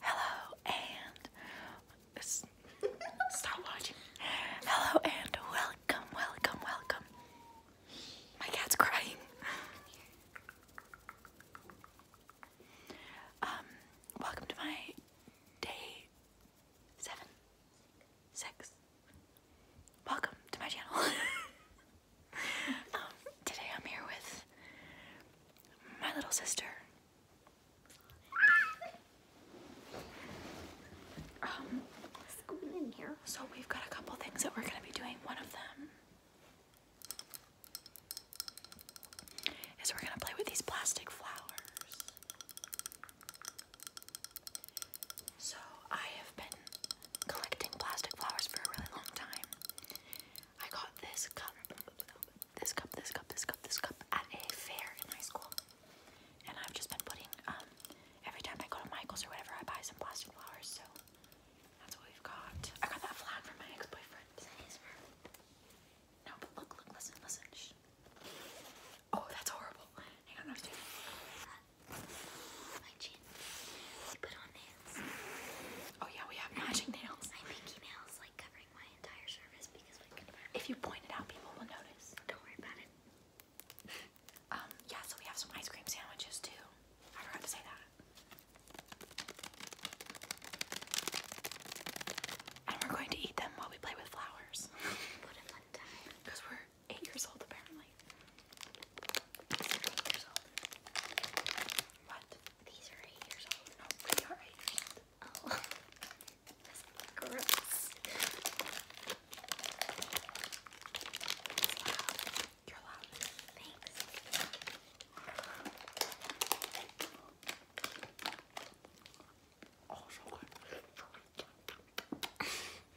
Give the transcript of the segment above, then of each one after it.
Hello and stop watching. Hello and welcome, welcome, welcome. My cat's crying. Um, welcome to my day seven, six. Welcome to my channel. Um, today I'm here with my little sister. Um, so we've got a couple things that we're going to be doing. One of them is we're going to play with these plastic flowers. So, I have been collecting plastic flowers for a really long time. I got this cup, this cup, this cup, this cup, this cup at a fair in high school. And I've just been putting, um, every time I go to Michael's or whatever, I buy some plastic flowers. So, that's what we've got. I got that flag from my ex boyfriend. Is that his No, but look, look, listen, listen. Oh, that's horrible. Oh yeah, we have magic nails. My pinky nails like covering my entire surface because we could If you point it out, people will notice. Don't worry about it. um, yeah, so we have some ice cream sandwiches too. I forgot to say that. And we're going to eat them while we play with flowers. Because we're eight years old apparently. What? These are eight years old. No, we are eight years old. Oh. gross. You're loud. Thanks. Oh,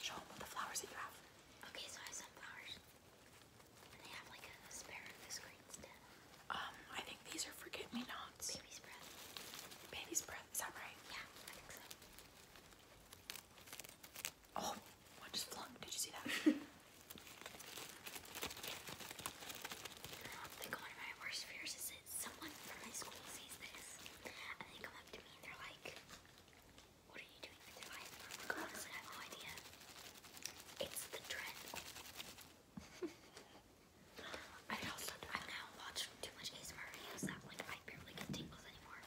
Show them the flowers that you have. Okay, so I have some flowers. they have like a asparagus green stem. Um, I think these are forget-me-nots. Baby's breath. Baby's breath, is that right? Yeah, I think oh, just flung. Did you see that? I think one of my worst fears is someone from my school sees this, and they come up to me and they're like, what are you doing with your life? I'm no idea. It's the trend. I also, i now watched too much ASMR videos that, like, I barely get tingles anymore, and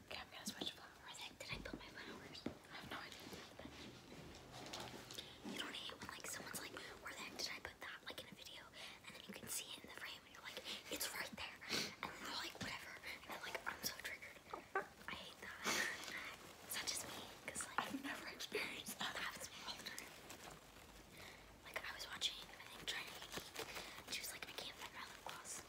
Okay, I'm gonna switch flowers. Did I put my flowers? I have no idea. You don't hate like someone's like, where the heck did I put that? Like in a video, and then you can see it in the frame, and you're like, it's right there. And then they're like, whatever. And like, I'm so triggered. I hate that. Such as me, cause like I've never experienced that. That happens all the time. Like I was watching, I think and she was like, I can't find my lip gloss.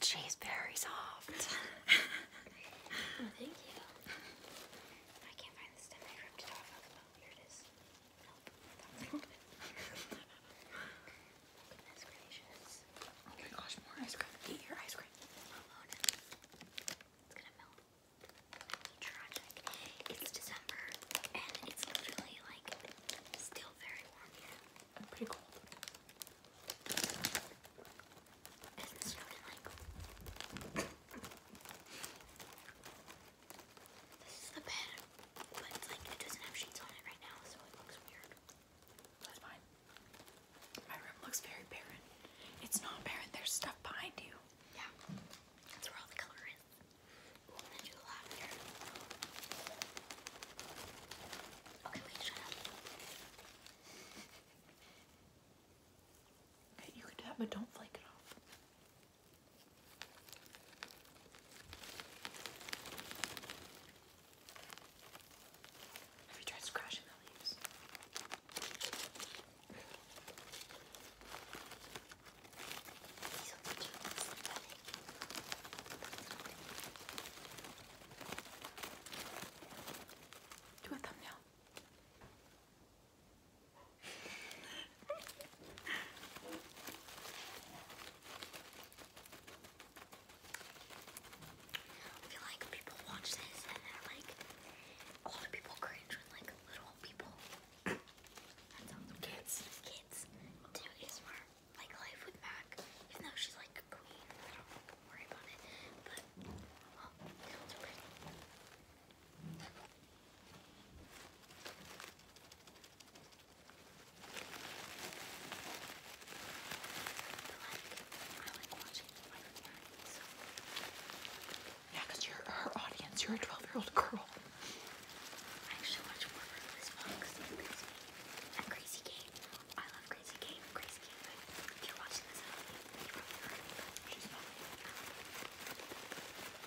She's very soft. oh, thank you. I can't find the stem. I ripped it off. Of oh, here it is. Oh my gosh, more ice cream. Eat your ice cream. It's gonna melt. It's December and it's literally like still very warm here. I'm pretty cold this is the bed, but it's like it doesn't have sheets on it right now, so it looks weird. That's fine. My room looks very barren. It's not barren, there's stuff behind you. Yeah. That's where all the color is. Ooh, i do the lavender. Okay, wait, shut up. you can do that, but don't flake it off. Have you tried scratching the leaves? Do a thumbnail. I feel like people watch this and they're like, a lot of people cringe when like little people. that Kids. Kids do ASMR like life with Mac, even though she's like a queen. I don't worry about it. But oh, these ones are pretty. you're her audience. You're a 12 year old girl. I actually watch more Relentless Fox and Crazy, and Crazy Kate. I love Crazy Kate. Crazy Kate, if you're watching this, I don't think you probably heard it, but she's probably like I do this thing where whenever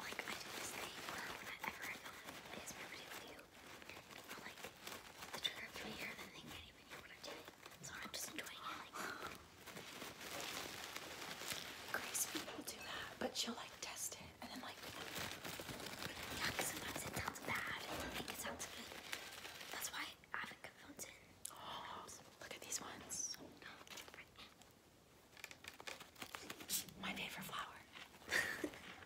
I film ASMR video like the trigger through here then they can't even hear what I'm So I'm just enjoying it like Grace do that, but she'll like test it and then like Yeah, sometimes it sounds bad and it sounds good. That's why I haven't got phones in. Oh look at these ones. My favorite flower.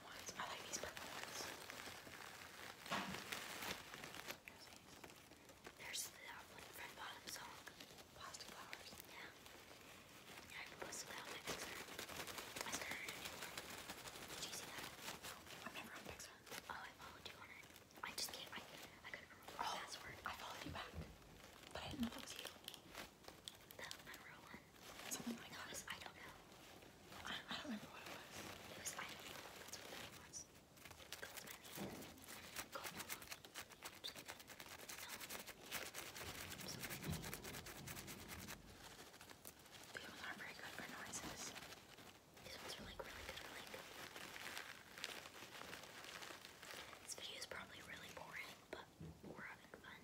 I like these purple ones. There's these. There's the outfit bottom song. Plastic flowers. Yeah. Yeah, I proposed that on my Pixar. I started a new one. Did you see that? No, I'm never on Pixar. Oh, I followed you on it. I just can't, I, I couldn't remember the oh, password. I followed you back, but I didn't know that was you. The Monroe one? Something like no, I don't know it was. I don't know. what the was. People aren't very good for noises. These ones are like really good This video is probably really boring, but we're having fun,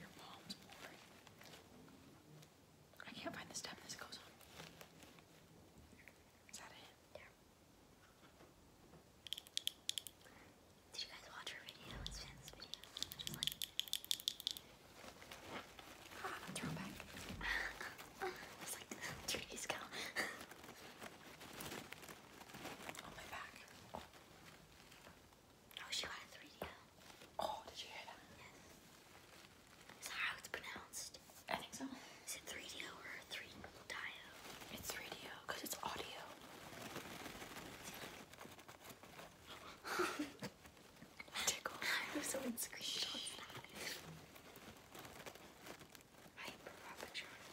your mom's boring. I can't find the step. this goes on. Is that it? Yeah. Did you guys watch her video? It's Finn's video. Just like ah, throwback. it's like three days ago. On my back. Oh, she got 3 Oh, did you hear that? Yes. how it's pronounced? I think so. Is it 3DO or 3DIO? It's 3DO because it's audio. Tickle. I was so screenshots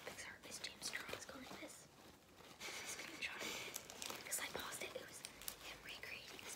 Pixar. Is James Because I paused it. Oh, it was him recreating his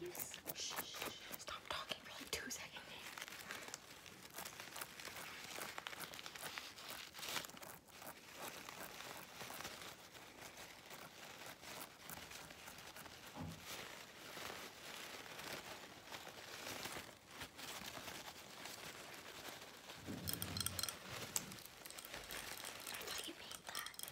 He's, shh, stop talking for like two seconds. I thought you made that.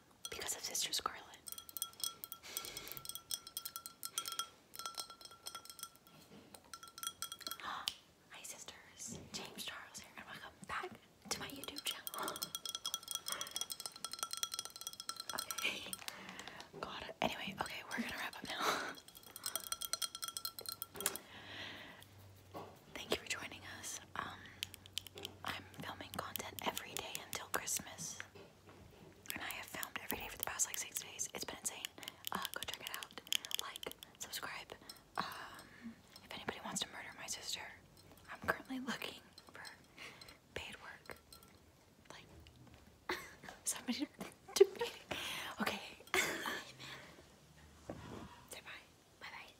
because of Sister Scarlet. Hi, sisters. James Charles here, and welcome back to my YouTube channel. okay. God. Anyway, okay, we're gonna wrap up now. thank you for joining us. Um, I'm filming content every day until Christmas, and I have filmed every day for the past like six days. It's been insane. Uh, go check it out. Like, subscribe. Um, if anybody wants to murder my sister, I'm currently looking for paid work. Like, somebody Okay. Say bye. Bye bye.